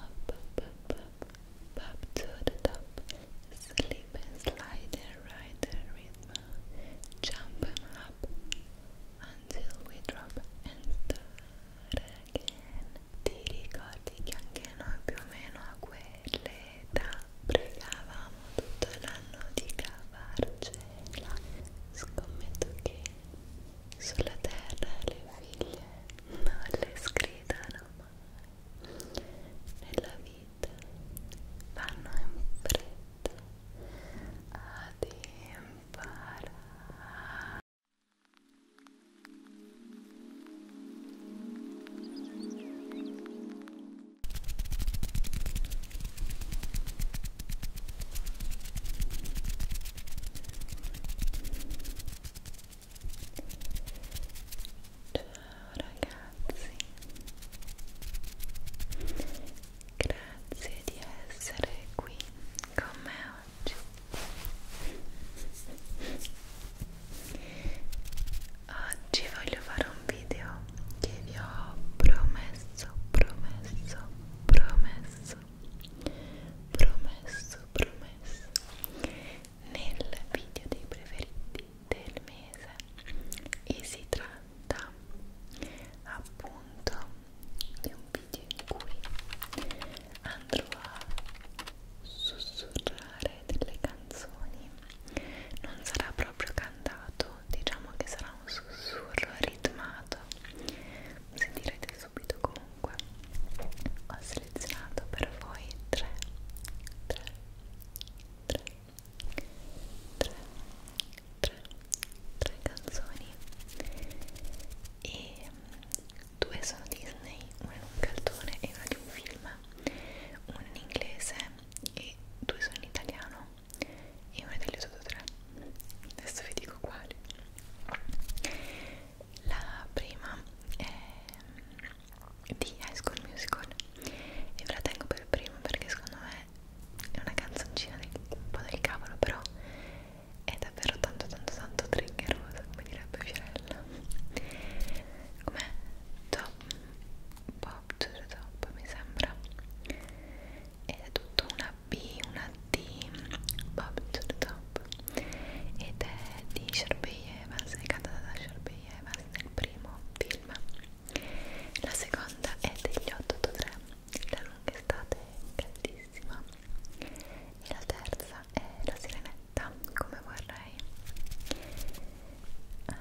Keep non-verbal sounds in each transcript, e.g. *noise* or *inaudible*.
Up, up, up, up, up to the top. Slip and slide and ride the rhythm. Jump and up until we drop and start again. Ti ricordi che anche noi più o meno a quell'età pregavamo tutto l'anno di cavarcela? Scommetto che sulla terra le figlie non le scredano mai nella vita vanno in fretta ad imparare Ciao ragazzi, grazie di essere qui con me oggi. Oggi voglio fare un video che vi ho promesso, promesso, promesso, promesso promesso nel video dei preferiti del mese e si tratta appunto di un video in cui andrò a sussurrare delle canzoni non sarà proprio cantato diciamo che sarà un sussurro ritmato sentirete subito come comunque ho selezionato per voi tre, tre, tre, tre, tre, tre canzoni e mm, due sono Disney, una in un cartone e una di un film, una in inglese e due sono in italiano e una delle sotto tre adesso vi dico quali la prima è ehm, di High School Musical e ve la tengo per prima perché secondo me è una canzoncina del, un po' del cavolo però è davvero tanto tanto tanto triggerosa come direbbe Fiorella com'è? Top Pop to the Top mi sembra ed è tutto una B, una di Bob Zurdop ed è di Sharpay Evans, è cantata da Sharpay Evans nel primo film la seconda è degli 883 La lunga estate caldissima e la terza è La sirenetta come vorrei um,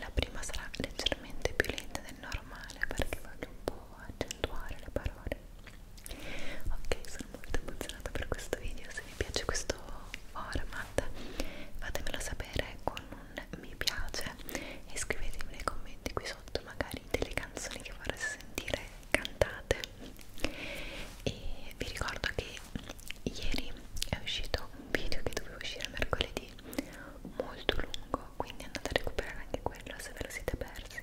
la prima sarà leggermente più lenta del normale perché voglio un po' accendere accentuare le parole ok sono molto emozionata per questo video se vi piace questo format fatemelo sapere con un mi piace e scrivetemi nei commenti qui sotto magari delle canzoni che vorreste sentire cantate e vi ricordo che ieri è uscito un video che doveva uscire mercoledì molto lungo quindi andate a recuperare anche quello se ve lo siete persi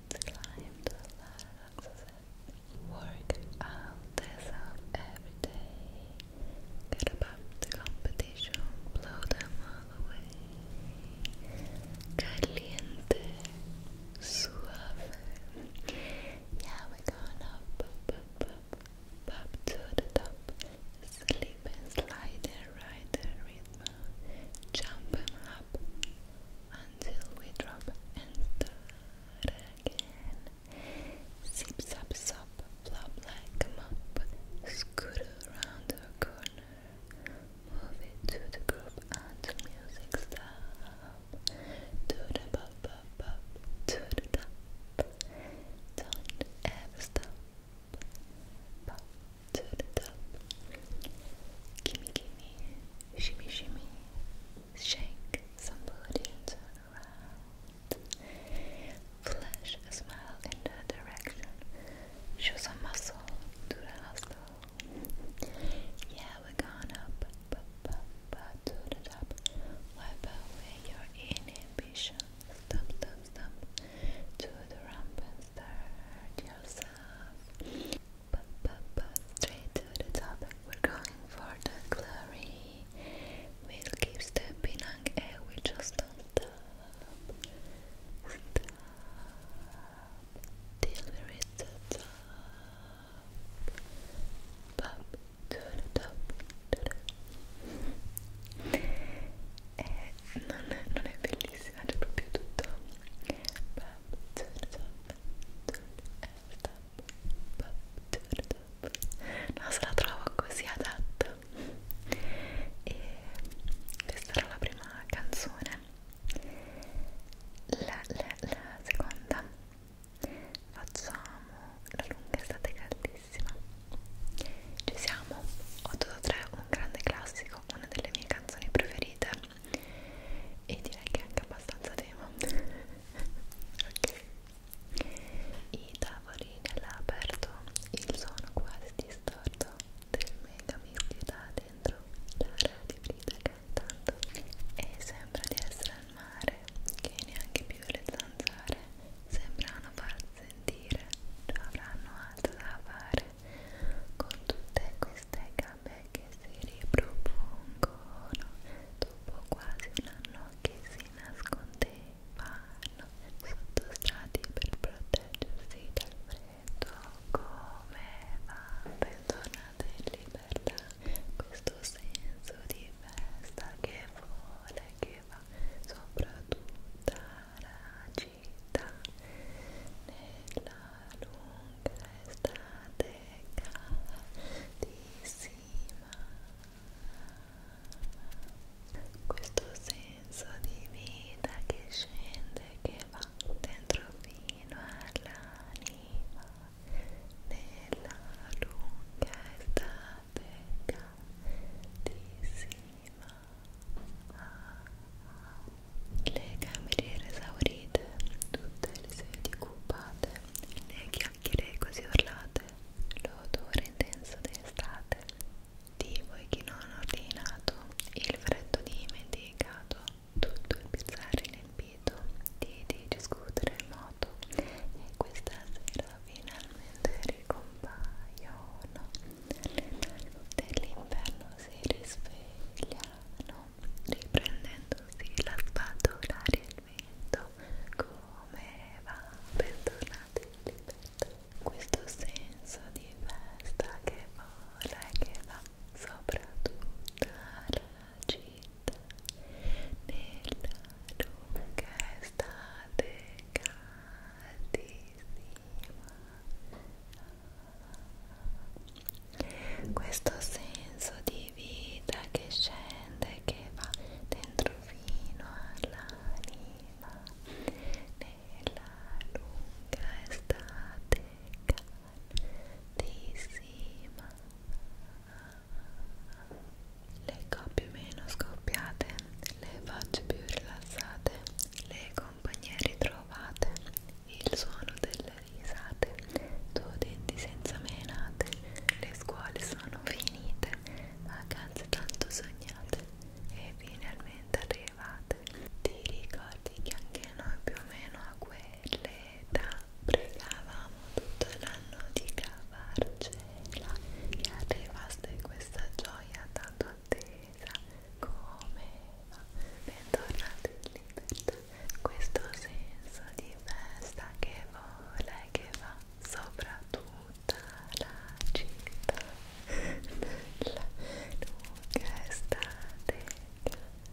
climb the ladders work out themselves every day. Get above the competition, blow them all away. Caliente, suave. Yeah, we're going up, up, up, up, to the top. Slip and slide there ride the rhythm, jump up until we drop and start again. Zip, zap, zap, flop like a mop, scoot around the corner, move it to the group until music stop. To the bop, bop, bop, to the top, don't ever stop. Pop, to the top. Gimme, gimme, shimmy, shimmy, shake some booty and turn around. Flash a smile in that direction. Show some muscle to the hustle. Yeah, we're going up, up, up, up to the top. Wipe away your inhibition. Stop, stop, stop. To the ramp and start yourself straight to the topic, we're going for the glory. We'll keep stepping on air, we just don't stop. till we reach the top. Pop to the top. e non è, non è bellissima, c'è proprio tutto non se la trovo così adatta e questa era la prima canzone la, la, la seconda facciamo la lunga estate caldissima ci siamo 883 un grande classico Live, una delle mie canzoni preferite e direi che è anche abbastanza tema *laughs* ok i tavoli nell'aperto il suono quasi distorto del mega da dentro l'area di vita che tanto e sembra di essere al mare che neanche più le zanzare sembrano far sentire, ci avranno altro da fare con tutte queste gambe che si ripropongono dopo quasi un anno che si nascondevano sotto strati per proteggersi dal freddo come va bentornate in libertà questo senso di festa che vuole che va sopra tutta la città uscita nella lunga estate caldissima questo senso di vita che scende che va dentro fino all'anima nella lunga estate caldissima le cameriere esaurite, tutte le sedie occupate, le chiacchiere così urlate, l'odore intenso d'estate, di voi che non ordinato, il freddo dimenticato, tutto il pizzare inempito, di, di discutere in moto, e questa sera finalmente ricompaiono dell'inverno si risvegliano riprendendosi la spatola e il vento come va bentornati in libertà questo senso di festa che vola e che va sopra tutta la città nella lunga estate caldissima questo senso di vita che scende che va dentro fino all'anima nella lunga estate caldissima le coppie meno scoppiate le facce più rilassate le compagnieri trovate il suono delle risate, tuo denti senza menate, le scuole sono finite, vacanze tanto sognate e finalmente arrivate. Ti ricordi che anche noi più o meno a quell'età pregavamo tutto l'anno di cavarcela e arrivaste questa gioia tanto attesa sorpresa come va bentornati in libertà questo senso di festa che vola e che va sopra tutta la città la lunga estate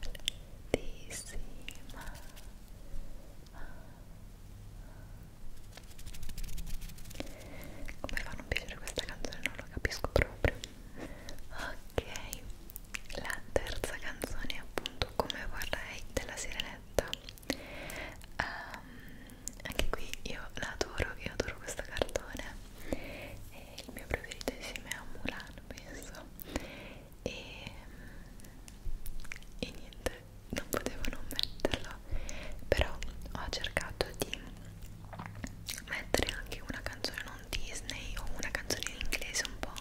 caldissima come fa a non piacere questa canzone non lo capisco proprio ok la terza canzone è appunto come vorrei della sirenetta um, anche qui io la adoro io adoro questo cartone e il mio preferito insieme a Mulan penso e, e niente non potevo non metterlo però ho cercato di mettere anche una canzone non Disney o una canzone in inglese un po'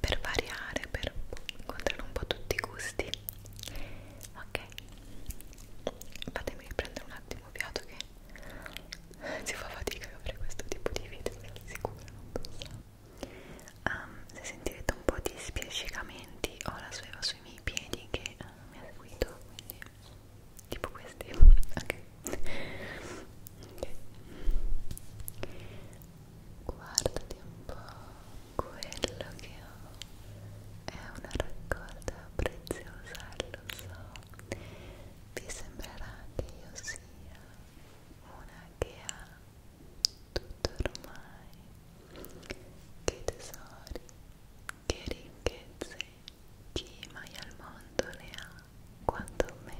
per variare, per incontrare un po' tutti i gusti ok fatemi riprendere un attimo fiato che *laughs* si fa fatica a fare questo tipo di video sono sicura non pensavo um, ehm, se sentirete un po' di spiascicamenti ho la sveva sui miei piedi che uh, mi ha seguito quindi tipo questi ok, okay. guardati un po' quello che ho è una raccolta preziosa lo so vi sembrerà che io sia una che ha tutto ormai che tesori che ricchezze chi mai al mondo ne ha quanto me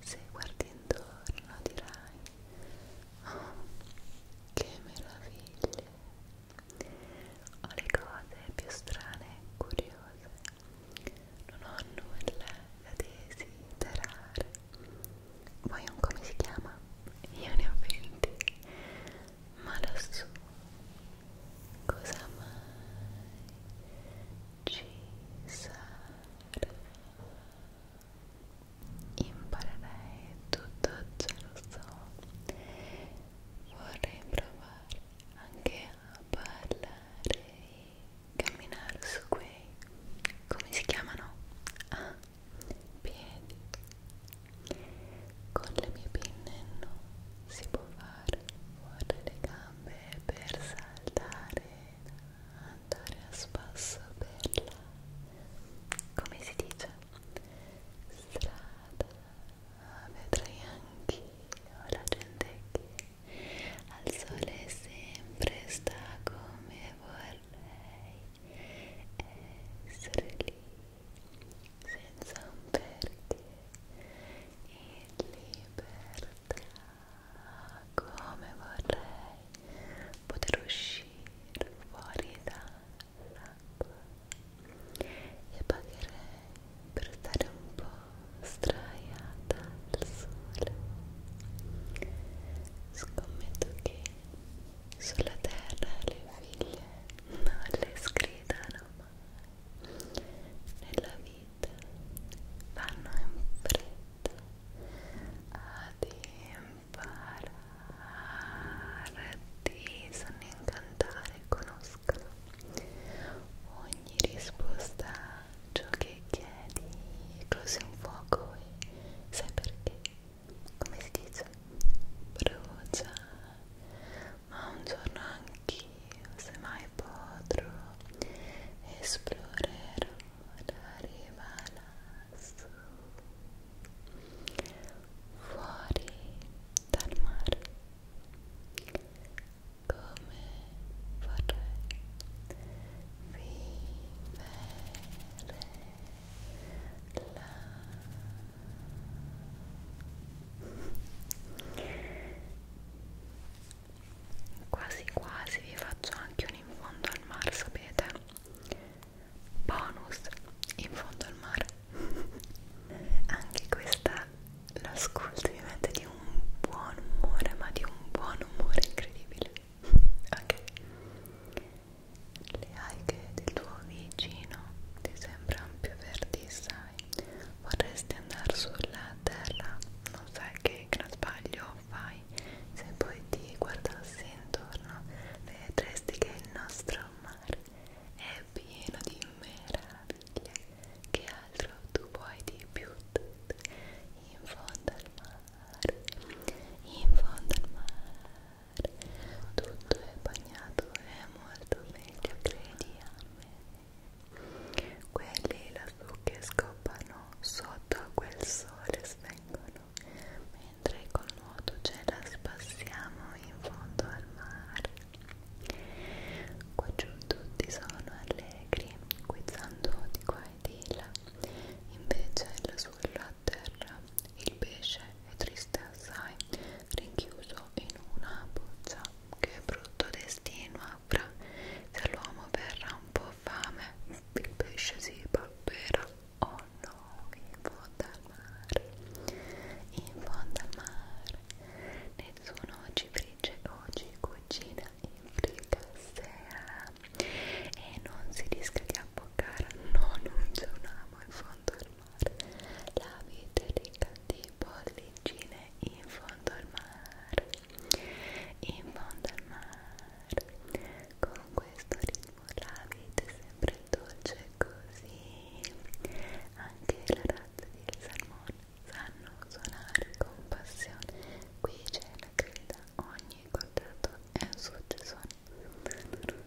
se guardi intorno dirai oh che meraviglie ho le cose più strane e curiose non ho nulla da desiderare vuoi un come si chiama? io ne ho venti ma lassù cosa mai ci sarà imparerei tutto ciò lo so vorrei provare anche a parlare e camminare su quei come si chiamano? ah, piedi con le mie pinne non si può fare fuori le gambe per saltare, andare a spasso per la, come si dice, strada. Ah, vedrai anch'io la gente che al sole sempre sta come vorrei essere lì senza un perché in libertà come vorrei poter uscire fuori dall'acqua e pagherei per stare un po' straiata al sole scommetto che sulla terra le figlie non le sgridano mai nella vita vanno in fretta ad impararti, sanno incantare, conoscono ogni risposta a ciò che chiedi, così un fuoco e sai perché? Come si dice? Brucia ma un giorno anch'io, se mai potrò, esplorerò la riva lassù, fuori dal mare, come vorrei vivere la quasi quasi vi faccio anche un in fondo al mare sapete bonus in fondo al mare *laughs* anche questa l'ascolto mi mette di un buon umore ma di un buon umore incredibile *laughs* ok le alghe del tuo vicino ti sembrano più verdi lì sai vorresti andare sulla terra non sai che gran sbaglio fai se poi ti guardassi intorno vedresti che il nostro mare è pieno di meraviglie che altro tu vuoi di più in fondo al mare in fondo al mare tutto è bagnato è molto meglio credi a me quelli lassù che scoppano sotto a quel sole svengono mentre col nuoto ce la spassiamo in fondo al mare qua giù tutti sono allegri guizzando di qua e di là invece lassù sulla terra il pesce è triste triste assai, rinchiuso in una boccia. Che brutto destino avrà se l'uomo verrà un po' fame, il pesce si palpera. Oh no, in fondo al mare, in fondo al mare, nessuno oggi frigge, oggi cucina in fricassera e non si rischia di abboccare. No, non c'è un amo in fondo al mare la vita è ricca di bollicine in fondo al mare, in fondo al mare, con questo ritmo la vita è sempre dolce così, anche la razza di salmone sanno suonare con passione, qui c'è la creda, ogni contratto è un successone. La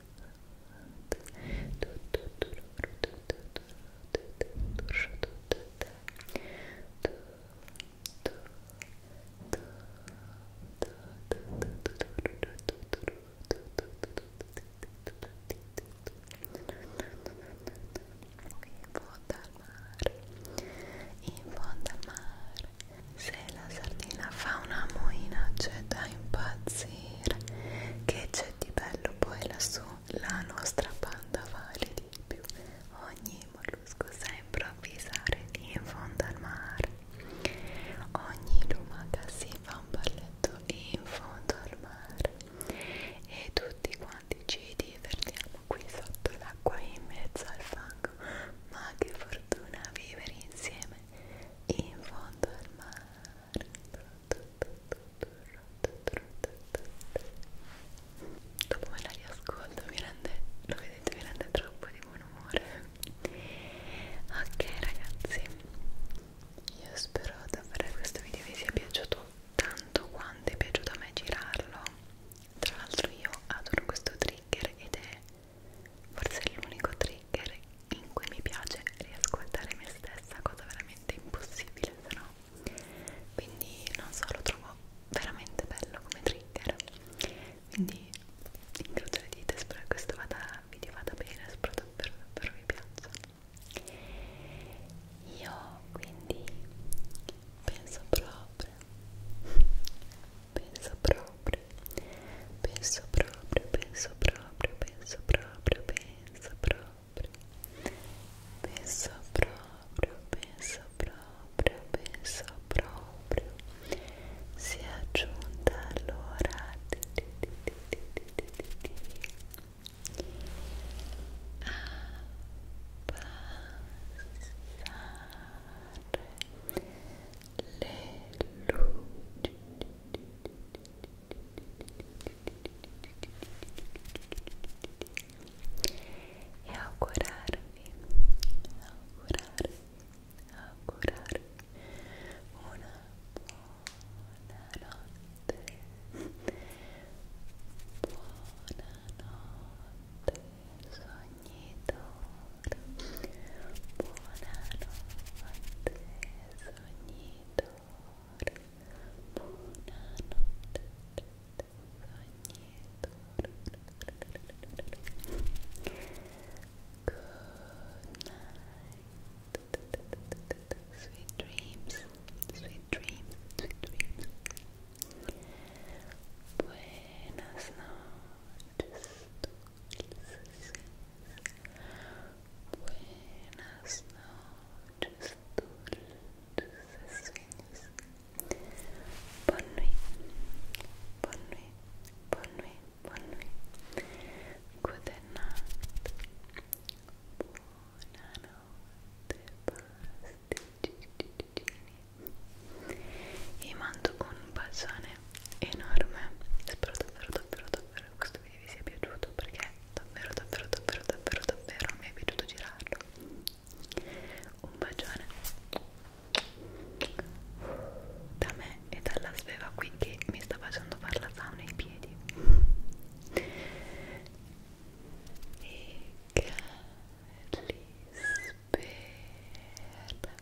fondo al mare in fondo mare se la sardina fa una moina c'è da impazzire sapere che c'è di bello poi lassù la nostra panda vale di più ogni mollusco sembra avvisare in fondo al mare ogni lumaca si fa un balletto in fondo al mare e tutti quanti ci divertiamo qui sotto l'acqua in mezzo al fango ma che fortuna vivere insieme in fondo al mare dopo me la riascolto mi rende lo vedete mi rende troppo di buon umore ok ragazzi io spero davvero questo video vi sia piaciuto tanto quanto è piaciuto a me girarlo tra l'altro io adoro questo trigger ed è forse l'unico trigger trigger in cui mi piace riascoltare me stessa, cosa veramente impossibile se no quindi non so, lo trovo veramente bello come trigger quindi incrocio le dita, spero che questo vada, video vada bene, spero davvero davvero vi piaccia io quindi penso proprio penso proprio penso proprio penso proprio penso proprio penso proprio, penso proprio, penso proprio, penso proprio sia giunta l'ora a passare le luci e augurarvi, augurarvi, buona notte, buona notte sognatore, buona notte sognatore. Sweet dreams, sweet dreams, sweet dreams. Buenas noches. Buenas noches, dulces sueños. Bonne nuit, bonne nuit, bonne nuit, bonne nuit. Good night. Buonanotte, pasticini. E mando un bacione enorme. Spero davvero, che vi sia piaciuto perché davvero davvero davvero davvero davvero mi è piaciuto girarlo un bacione da me e dalla sveva qui che mi sta facendo fare la sauna ai piedi e cali spera